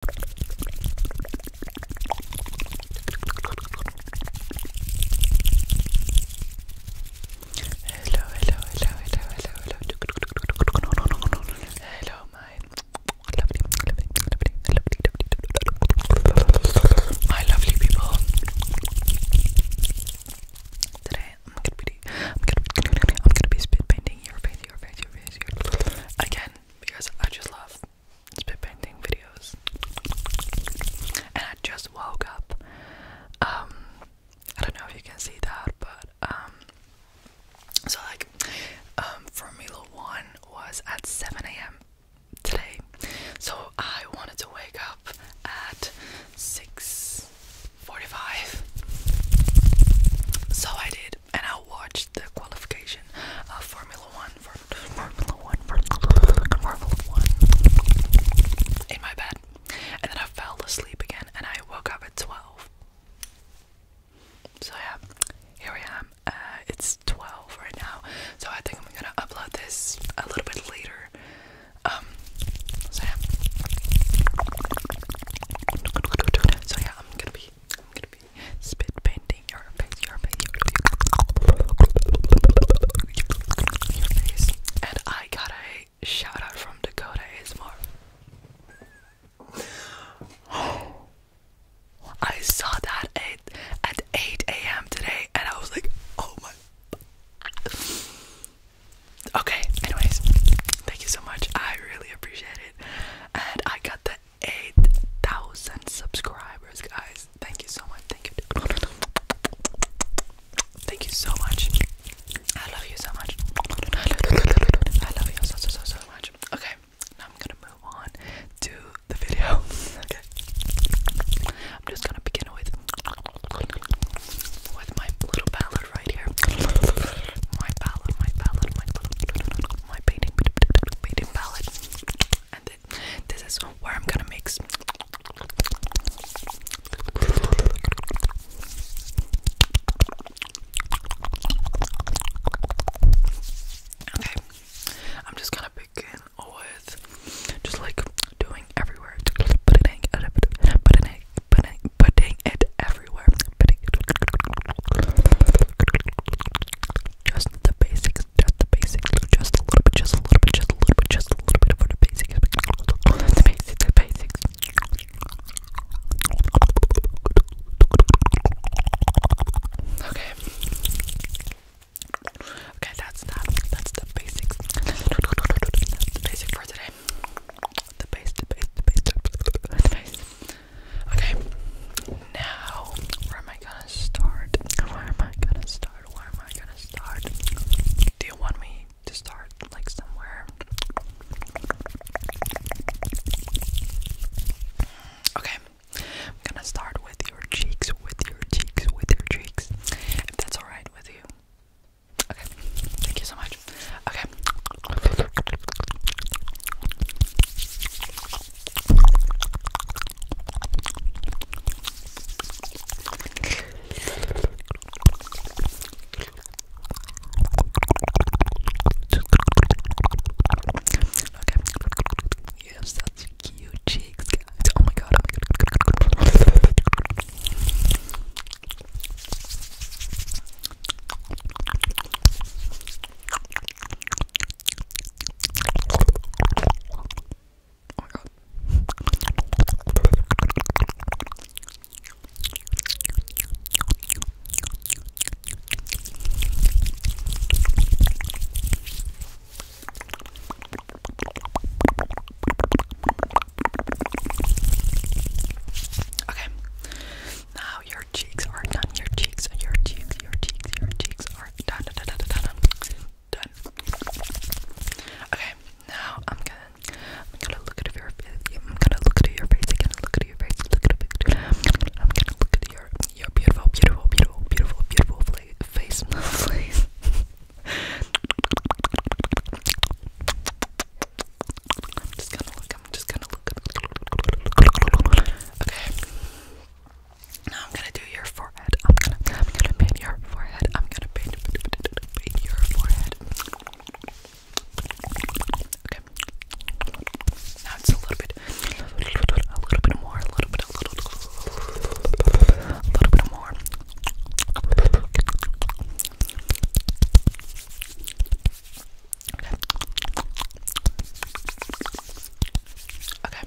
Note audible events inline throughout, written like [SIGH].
Hello, hello, hello, hello, hello, hello. Hello, my lovely, lovely, lovely, lovely, my lovely people. Today I'm gonna be, I'm gonna, I'm gonna be spit painting your face, your face, your face, your again because I just love spit painting videos. And I just woke up. Um, I don't know if you can see that, but um, so like, um, Formula One was at 7 a.m. today, so I wanted to wake up at 6:45. So I did and i watched the qualification of uh, Formula One for Formula One for Formula One in my bed, and then I fell asleep again, and I woke up at twelve. So yeah, here I am. Uh, it's twelve right now, so I think I'm gonna upload this a little bit later. Um, so yeah. So yeah, I'm gonna be, I'm gonna be spit painting your face, your face, your face. And I got a shout out from Dakota ASMR. I saw that at at 8 a.m. today, and I was like, oh my. Okay, anyways, thank you so much. I really appreciate it. And I got the 8,000 subscribers, guys. Thank you so much. Thank you. Thank you so much. I love you so much. I love you so, so, so, so much. Okay, I'm gonna move on to the video. [LAUGHS] okay. I'm just gonna begin with with my little palette right here. My palette, my palette, my palette, my painting, painting palette. And th this is where I'm gonna mix. Okay, I'm just gonna begin with just like doing everywhere, putting it, putting it, putting it, putting it everywhere, putting just the basics, just the basics, just a little bit, just a little bit, just a little bit, just a little bit for the basics, the basics, the basics. Okay. Okay, that's that. That's the basics. That's the basics. Okay, now where am I gonna start? Where am I gonna start? Where am I gonna start? Do you want me to start like somewhere? Okay, I'm gonna start with your cheeks, with your cheeks, with your cheeks. If that's alright with you, Okay, thank you so much. Okay. Okay. Yes, that's cute cheeks, like, it's, oh my god, oh my god. Oh my god. Okay. Now your cheeks are done. Your cheeks, your cheeks, your cheeks, your cheeks are done. Done. Done. Done. done. done. Okay. Now I'm gonna, I'm gonna look at your face. I'm gonna look at your face again. Look at your face. Look at your face. I'm gonna, I'm gonna look at your, your beautiful, beautiful, beautiful, beautiful, beautiful face face mufflings. i Okay. Now I'm gonna do your forehead. I'm gonna I'm gonna paint your forehead. I'm gonna paint, paint your forehead. Okay. Now it's a little bit good. A little bit more, a little bit, a little, a little bit more. Okay. Okay.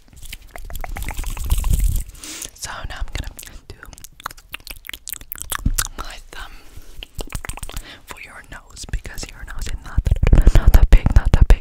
So now I'm gonna do my thumb for your nose because your nose is not not that big, not that big.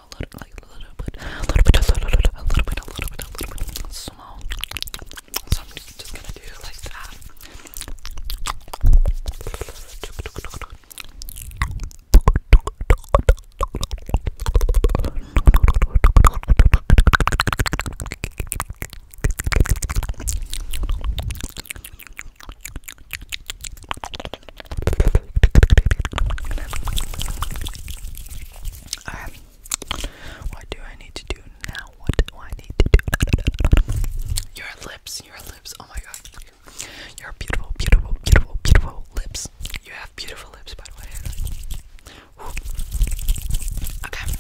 a little, like a little bit, a little bit, a little bit, a little bit, a little bit, a little bit, bit small. So I'm just gonna do it like that. Alright. What do I need to do now? What do I need to do? Your lips, your lips. Oh my god. Your beautiful, beautiful, beautiful, beautiful lips. You have beautiful lips, by the way. Okay.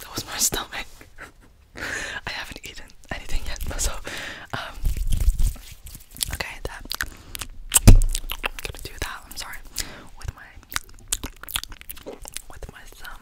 That was my stomach. [LAUGHS] [LAUGHS] I haven't eaten anything yet, [LAUGHS] so um, okay I'm gonna do that, I'm sorry, with my with my thumb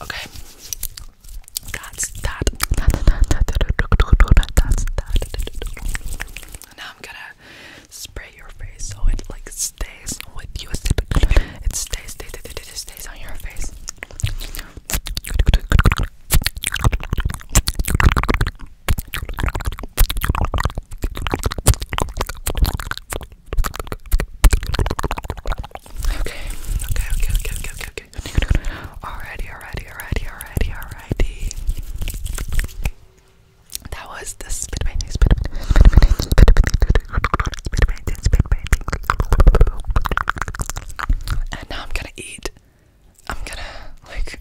Okay. Now I'm gonna spray your face so it like stays with you. It stays, stays, stays, stays on your face. Okay, okay, okay, okay, okay, okay, okay. Alrighty, alrighty, alrighty, alrighty, alrighty. That was the spit painting, spit painting, spit painting, spit painting, spit painting, spit painting. And now I'm gonna eat I'm gonna like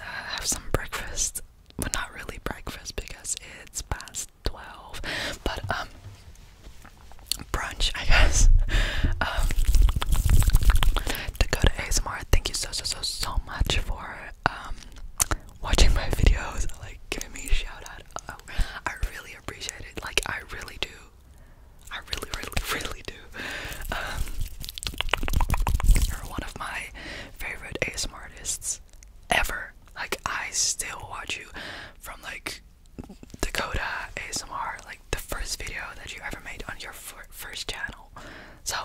have some breakfast. But not really breakfast because it's past twelve. But um brunch I guess. [LAUGHS] Um to go to ASMR, thank you so so so so much for um watching my [LAUGHS] videos, like giving me a shout out. Oh, I really appreciate it. Like I really do I really, really, really do. Um, you're one of my favorite ASMR artists ever. Like, I still watch you from like Dakota ASMR, like the first video that you ever made on your first channel. So,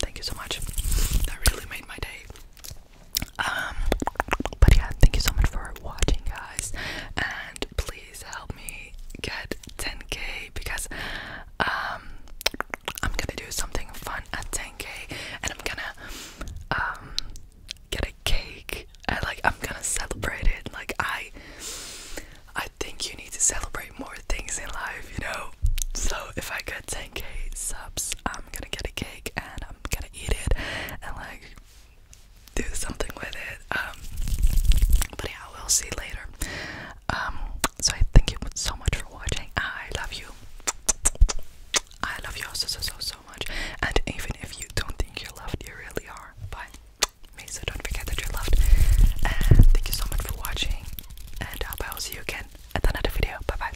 thank you so much. That really made my day. Um, but yeah, thank you so much for watching, guys, and please help me get 10k because um, I'm gonna do something fun at 10k, and I'm gonna um, get a cake. And, like I'm gonna celebrate it. Like I, I think you need to celebrate more things in life, you know. So if I get 10k subs, I'm gonna get a cake and I'm gonna eat it and like do something with it. Um, but yeah, we'll see later. Um, so I thank you so much for watching. I love you. I love you so so so so much. And even if you don't think you're loved, you really are. But me, don't forget that you're loved. thank you so much for watching. And I will see you again at another video. Bye bye.